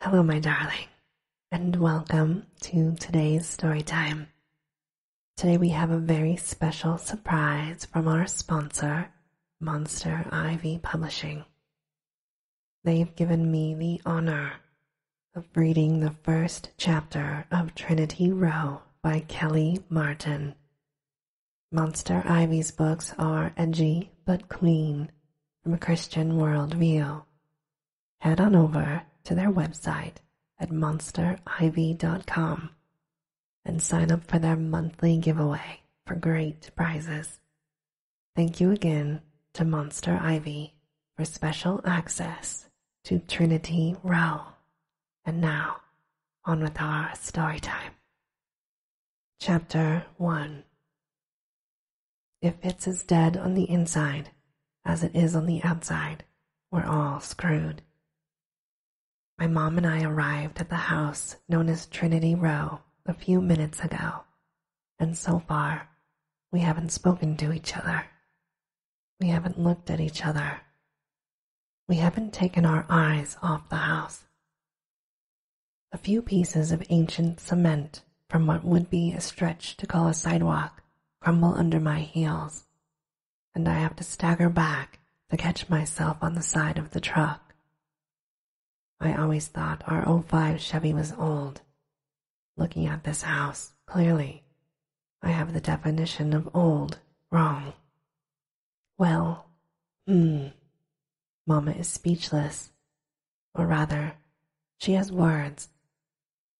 Hello, my darling, and welcome to today's story time. Today, we have a very special surprise from our sponsor, Monster Ivy Publishing. They've given me the honor of reading the first chapter of Trinity Row by Kelly Martin. Monster Ivy's books are edgy but clean from a Christian worldview. Head on over to their website at monsterivy.com and sign up for their monthly giveaway for great prizes. Thank you again to Monster Ivy for special access to Trinity Row. And now, on with our story time. Chapter 1 if it's as dead on the inside as it is on the outside, we're all screwed. My mom and I arrived at the house known as Trinity Row a few minutes ago, and so far, we haven't spoken to each other. We haven't looked at each other. We haven't taken our eyes off the house. A few pieces of ancient cement from what would be a stretch to call a sidewalk crumble under my heels, and I have to stagger back to catch myself on the side of the truck. I always thought our 05 Chevy was old. Looking at this house, clearly, I have the definition of old wrong. Well, hmm. Mama is speechless, or rather, she has words,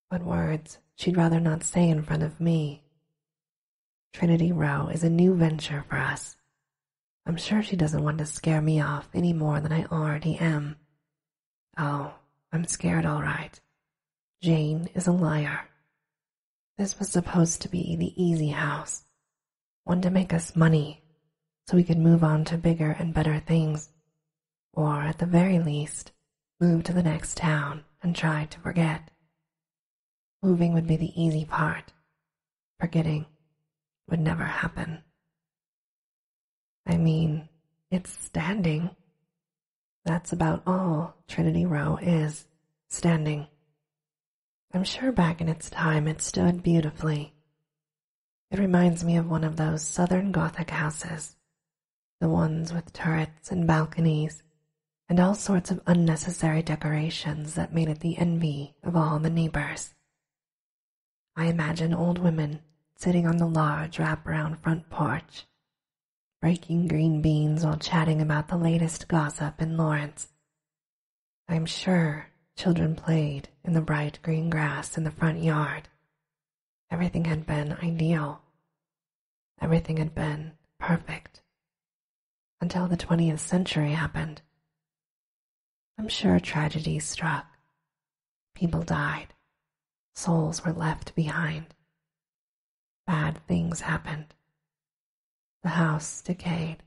but words she'd rather not say in front of me. Trinity Row is a new venture for us. I'm sure she doesn't want to scare me off any more than I already am. Oh, I'm scared all right. Jane is a liar. This was supposed to be the easy house, one to make us money so we could move on to bigger and better things, or at the very least, move to the next town and try to forget. Moving would be the easy part. Forgetting would never happen. I mean, it's standing. That's about all Trinity Row is standing. I'm sure back in its time it stood beautifully. It reminds me of one of those southern Gothic houses, the ones with turrets and balconies and all sorts of unnecessary decorations that made it the envy of all the neighbors. I imagine old women sitting on the large wraparound front porch, breaking green beans while chatting about the latest gossip in Lawrence, I am sure children played in the bright green grass in the front yard. Everything had been ideal. Everything had been perfect. Until the 20th century happened. I'm sure tragedy struck. People died. Souls were left behind. Bad things happened. The house decayed.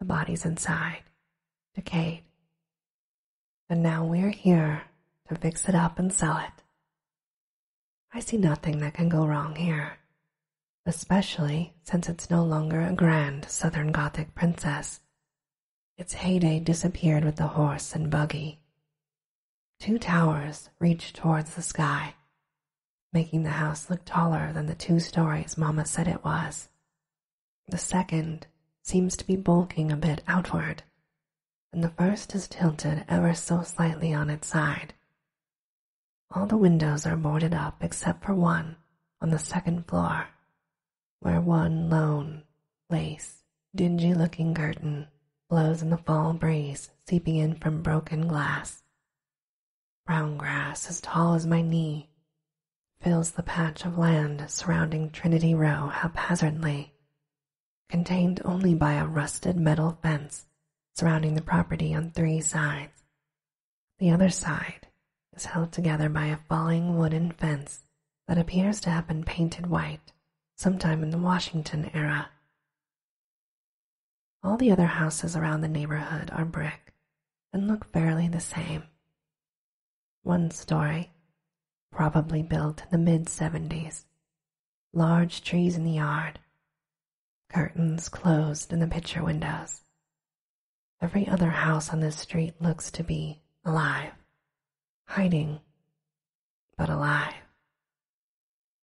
The body's inside, decayed. And now we're here to fix it up and sell it. I see nothing that can go wrong here, especially since it's no longer a grand Southern Gothic princess. Its heyday disappeared with the horse and buggy. Two towers reached towards the sky, making the house look taller than the two stories Mama said it was. The second seems to be bulking a bit outward, and the first is tilted ever so slightly on its side. All the windows are boarded up except for one on the second floor, where one lone, lace, dingy looking curtain blows in the fall breeze seeping in from broken glass. Brown grass as tall as my knee fills the patch of land surrounding Trinity Row haphazardly, contained only by a rusted metal fence surrounding the property on three sides. The other side is held together by a falling wooden fence that appears to have been painted white sometime in the Washington era. All the other houses around the neighborhood are brick and look fairly the same, one story, probably built in the mid 70s. Large trees in the yard, curtains closed in the picture windows. Every other house on this street looks to be alive, hiding, but alive.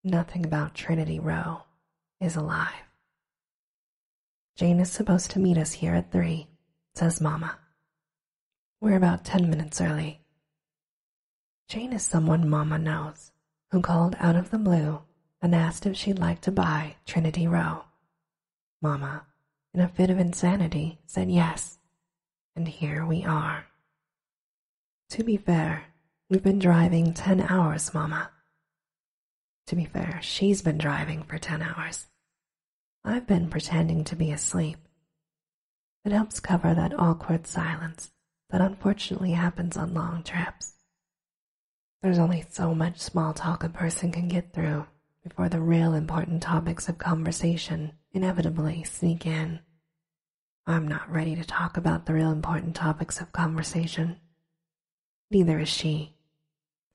Nothing about Trinity Row is alive. Jane is supposed to meet us here at three, says Mamma. We're about ten minutes early. Jane is someone Mamma knows who called out of the blue and asked if she'd like to buy Trinity Row. Mamma, in a fit of insanity, said yes, and here we are. To be fair, we've been driving ten hours, Mamma. To be fair, she's been driving for ten hours. I've been pretending to be asleep. It helps cover that awkward silence that unfortunately happens on long trips. There's only so much small talk a person can get through before the real important topics of conversation inevitably sneak in. I'm not ready to talk about the real important topics of conversation neither is she.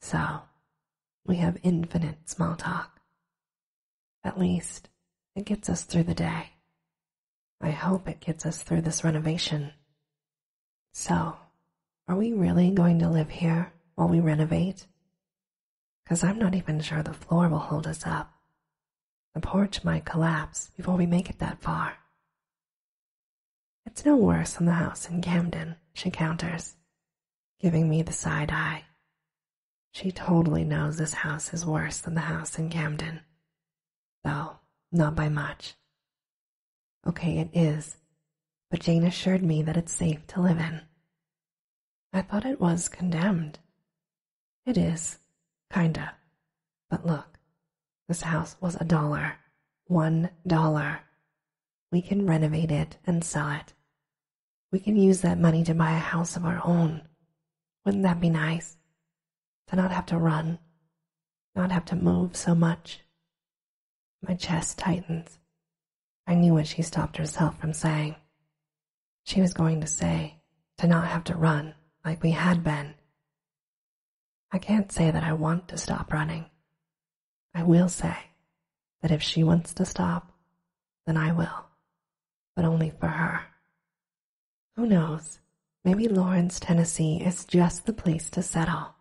So, we have infinite small talk. At least, it gets us through the day. I hope it gets us through this renovation. So, are we really going to live here while we renovate? Because I'm not even sure the floor will hold us up. The porch might collapse before we make it that far. It's no worse than the house in Camden, she counters, giving me the side eye. She totally knows this house is worse than the house in Camden, though not by much. Okay, it is, but Jane assured me that it's safe to live in. I thought it was condemned. It is, kinda. But look, this house was a dollar. One dollar we can renovate it and sell it. We can use that money to buy a house of our own. Wouldn't that be nice? To not have to run, not have to move so much. My chest tightens. I knew what she stopped herself from saying. She was going to say, to not have to run like we had been. I can't say that I want to stop running. I will say that if she wants to stop, then I will, but only for her. Who knows? Maybe Lawrence, Tennessee is just the place to settle.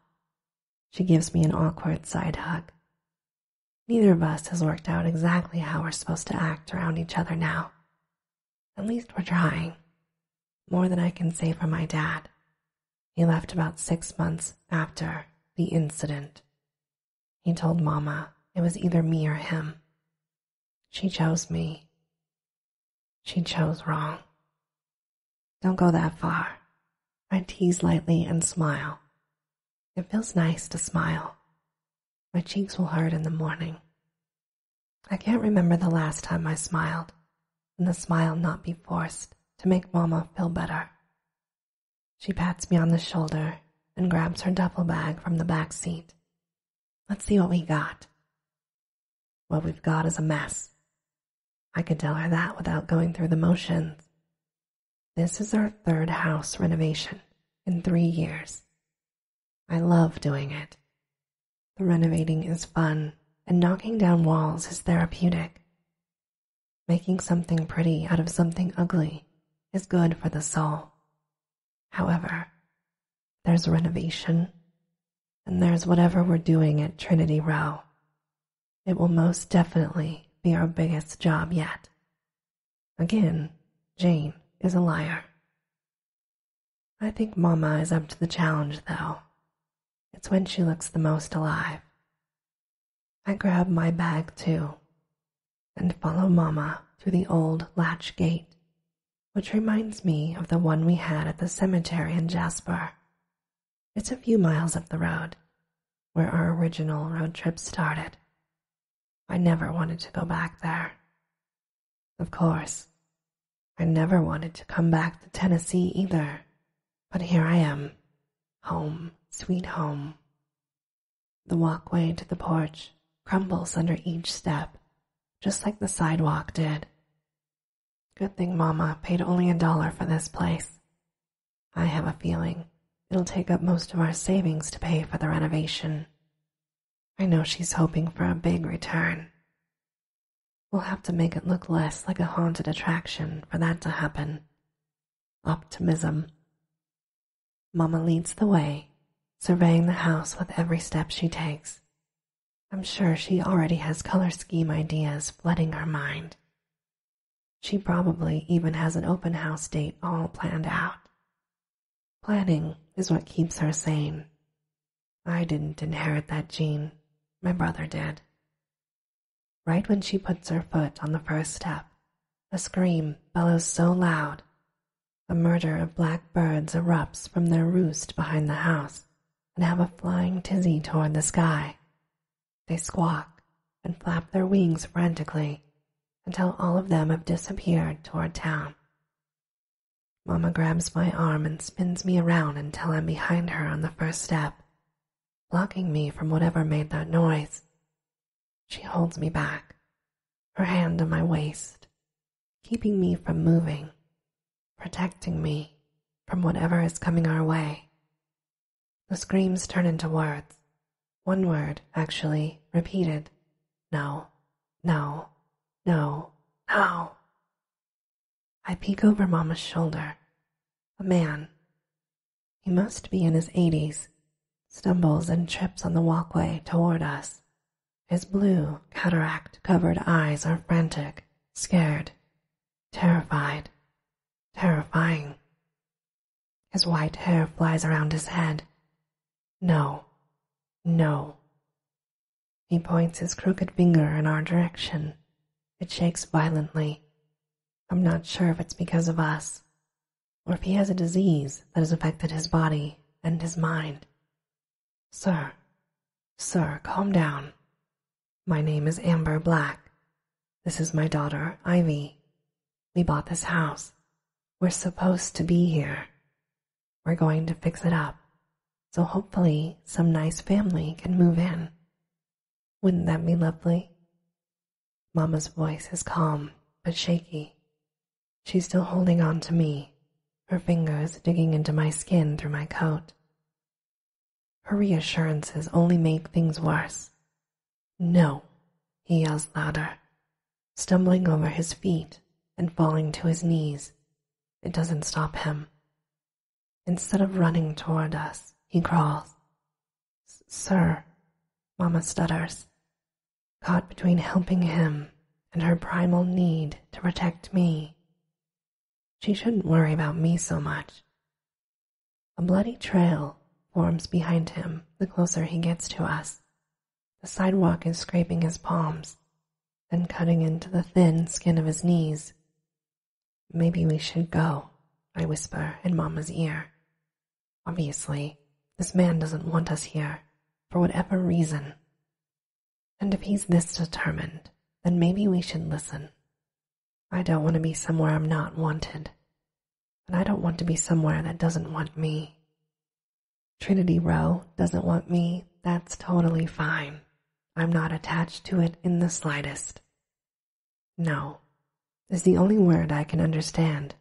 She gives me an awkward side hug. Neither of us has worked out exactly how we're supposed to act around each other now. At least we're trying. More than I can say for my dad, he left about six months after the incident. He told Mama it was either me or him. She chose me. She chose wrong. Don't go that far. I tease lightly and smile. It feels nice to smile. My cheeks will hurt in the morning. I can't remember the last time I smiled, and the smile not be forced to make Mamma feel better. She pats me on the shoulder and grabs her duffel bag from the back seat. Let's see what we got. What we've got is a mess. I could tell her that without going through the motions. This is our third house renovation in three years. I love doing it. The renovating is fun, and knocking down walls is therapeutic. Making something pretty out of something ugly is good for the soul. However, there's renovation, and there's whatever we're doing at Trinity Row. It will most definitely be our biggest job yet. Again, Jane is a liar. I think Mamma is up to the challenge, though. It's when she looks the most alive. I grab my bag too and follow Mama through the old latch gate, which reminds me of the one we had at the cemetery in Jasper. It's a few miles up the road where our original road trip started. I never wanted to go back there. Of course, I never wanted to come back to Tennessee either but here I am. Home, sweet home. The walkway to the porch crumbles under each step, just like the sidewalk did. Good thing Mama paid only a dollar for this place. I have a feeling it'll take up most of our savings to pay for the renovation. I know she's hoping for a big return. We'll have to make it look less like a haunted attraction for that to happen. Optimism. Mama leads the way, surveying the house with every step she takes. I'm sure she already has color scheme ideas flooding her mind. She probably even has an open house date all planned out. Planning is what keeps her sane. I didn't inherit that gene, my brother did. Right when she puts her foot on the first step, a scream bellows so loud a murder of black birds erupts from their roost behind the house and have a flying tizzy toward the sky. They squawk and flap their wings frantically until all of them have disappeared toward town. Mama grabs my arm and spins me around until I'm behind her on the first step blocking me from whatever made that noise. She holds me back, her hand on my waist, keeping me from moving, protecting me from whatever is coming our way. The screams turn into words. One word, actually, repeated. No, no, no, no. I peek over Mamma's shoulder. A man. He must be in his eighties. Stumbles and trips on the walkway toward us. His blue, cataract covered eyes are frantic, scared, terrified, terrifying. His white hair flies around his head. No, no. He points his crooked finger in our direction. It shakes violently, I'm not sure if it's because of us, or if he has a disease that has affected his body and his mind. Sir, sir, calm down. My name is Amber Black. This is my daughter, Ivy. We bought this house. We're supposed to be here. We're going to fix it up, so hopefully some nice family can move in. Wouldn't that be lovely? Mamma's voice is calm but shaky. She's still holding on to me, her fingers digging into my skin through my coat. Her reassurances only make things worse. No, he yells louder, stumbling over his feet and falling to his knees. It doesn't stop him. Instead of running toward us, he crawls. Sir, Mama stutters, caught between helping him and her primal need to protect me. She shouldn't worry about me so much. A bloody trail forms behind him the closer he gets to us. The sidewalk is scraping his palms, then cutting into the thin skin of his knees. Maybe we should go, I whisper in Mamma's ear. Obviously, this man doesn't want us here, for whatever reason. And if he's this determined, then maybe we should listen. I don't want to be somewhere I'm not wanted, and I don't want to be somewhere that doesn't want me. Trinity Row doesn't want me, that's totally fine. I'm not attached to it in the slightest. No is the only word I can understand.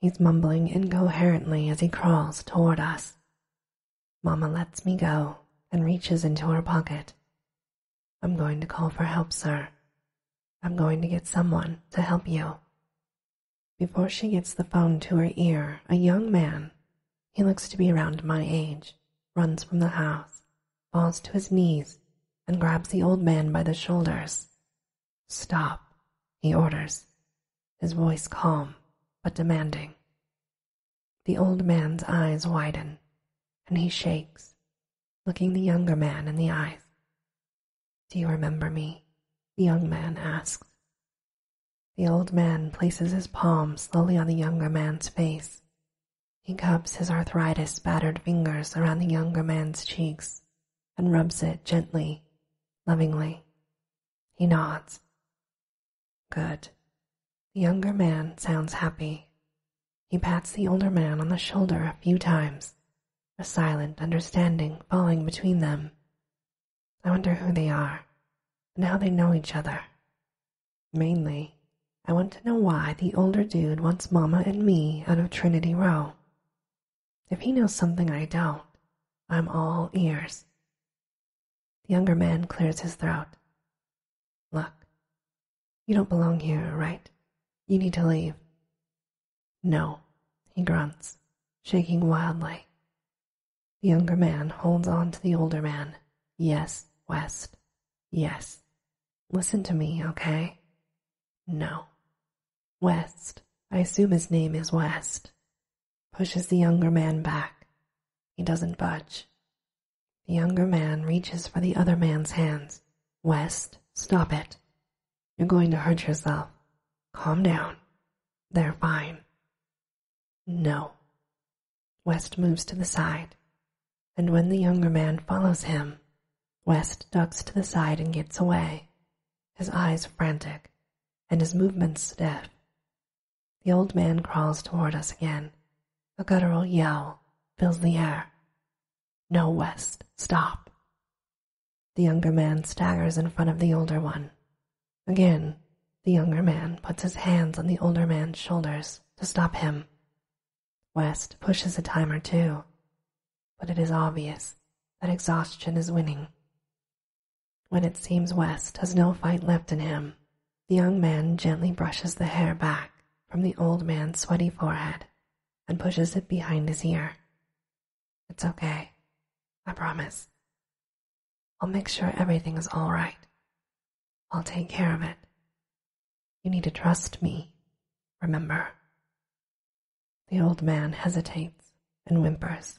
He's mumbling incoherently as he crawls toward us. Mamma lets me go and reaches into her pocket. I'm going to call for help, sir. I'm going to get someone to help you. Before she gets the phone to her ear, a young man, he looks to be around my age, runs from the house falls to his knees and grabs the old man by the shoulders. Stop, he orders, his voice calm but demanding. The old man's eyes widen, and he shakes, looking the younger man in the eyes. Do you remember me? the young man asks. The old man places his palm slowly on the younger man's face he cups his arthritis-battered fingers around the younger man's cheeks and rubs it gently, lovingly. He nods. Good. The younger man sounds happy. He pats the older man on the shoulder a few times, a silent understanding falling between them. I wonder who they are and how they know each other. Mainly, I want to know why the older dude wants Mama and me out of Trinity Row. If he knows something I don't, I'm all ears. The younger man clears his throat. Look, you don't belong here, right? You need to leave. No, he grunts, shaking wildly. The younger man holds on to the older man. Yes, West, Yes. Listen to me, okay? No. West, I assume his name is West, pushes the younger man back. He doesn't budge. The younger man reaches for the other man's hands. West, stop it. You're going to hurt yourself. Calm down. They're fine. No. West moves to the side, and when the younger man follows him, West ducks to the side and gets away, his eyes frantic and his movements stiff. The old man crawls toward us again. A guttural yell fills the air. No, West, stop. The younger man staggers in front of the older one. Again, the younger man puts his hands on the older man's shoulders to stop him West pushes a timer too, but it is obvious that exhaustion is winning. When it seems West has no fight left in him, the young man gently brushes the hair back from the old man's sweaty forehead and pushes it behind his ear. It's okay. I promise. I'll make sure everything is all right. I'll take care of it. You need to trust me, remember. The old man hesitates and whimpers.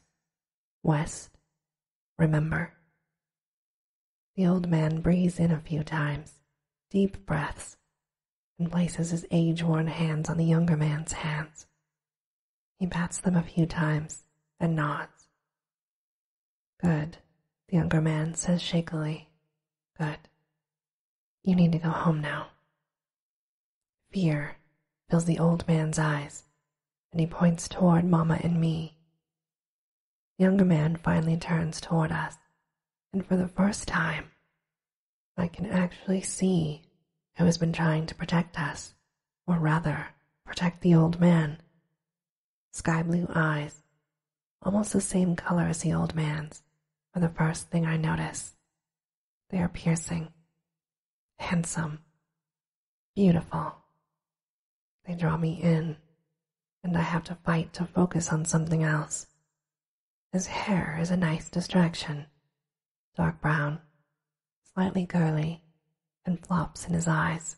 West, remember. The old man breathes in a few times, deep breaths, and places his age worn hands on the younger man's hands. He bats them a few times and nods, Good, the younger man says shakily. Good. You need to go home now. Fear fills the old man's eyes, and he points toward Mamma and me. The younger man finally turns toward us, and for the first time, I can actually see who has been trying to protect us, or rather, protect the old man sky blue eyes, almost the same color as the old man's, are the first thing I notice. They are piercing, handsome, beautiful. They draw me in, and I have to fight to focus on something else. His hair is a nice distraction dark brown, slightly curly, and flops in his eyes.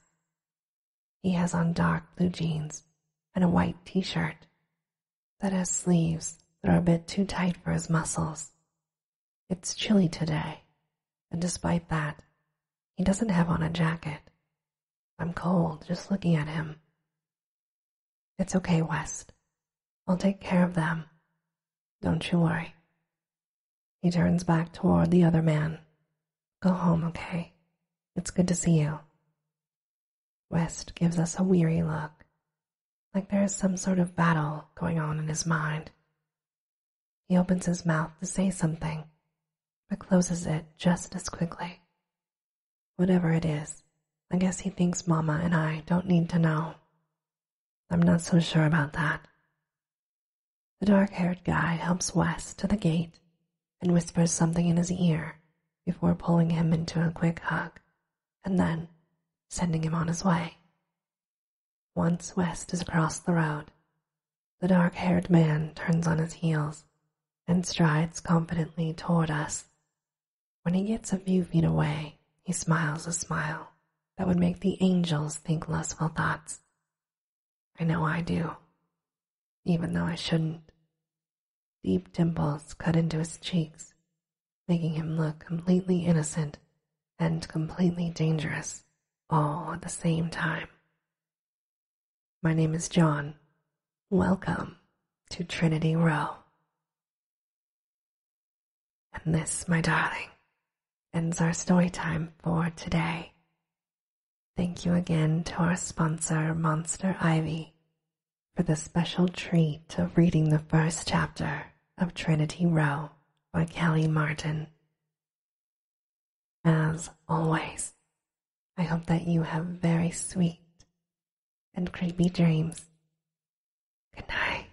He has on dark blue jeans and a white t shirt that has sleeves that are a bit too tight for his muscles. It's chilly today, and despite that, he doesn't have on a jacket. I'm cold just looking at him. It's okay, West. I'll take care of them. Don't you worry. He turns back toward the other man Go home, okay? It's good to see you. West gives us a weary look, like there is some sort of battle going on in his mind. He opens his mouth to say something, but closes it just as quickly. Whatever it is, I guess he thinks Mama and I don't need to know. I'm not so sure about that. The dark-haired guy helps West to the gate and whispers something in his ear before pulling him into a quick hug and then sending him on his way. Once West is across the road, the dark-haired man turns on his heels and strides confidently toward us. When he gets a few feet away, he smiles a smile that would make the angels think lustful thoughts. I know I do, even though I shouldn't. Deep dimples cut into his cheeks, making him look completely innocent and completely dangerous all at the same time. My name is John. Welcome to Trinity Row. And this, my darling, ends our story time for today. Thank you again to our sponsor, Monster Ivy, for the special treat of reading the first chapter of Trinity Row by Kelly Martin. As always, I hope that you have very sweet and creepy dreams. Good night.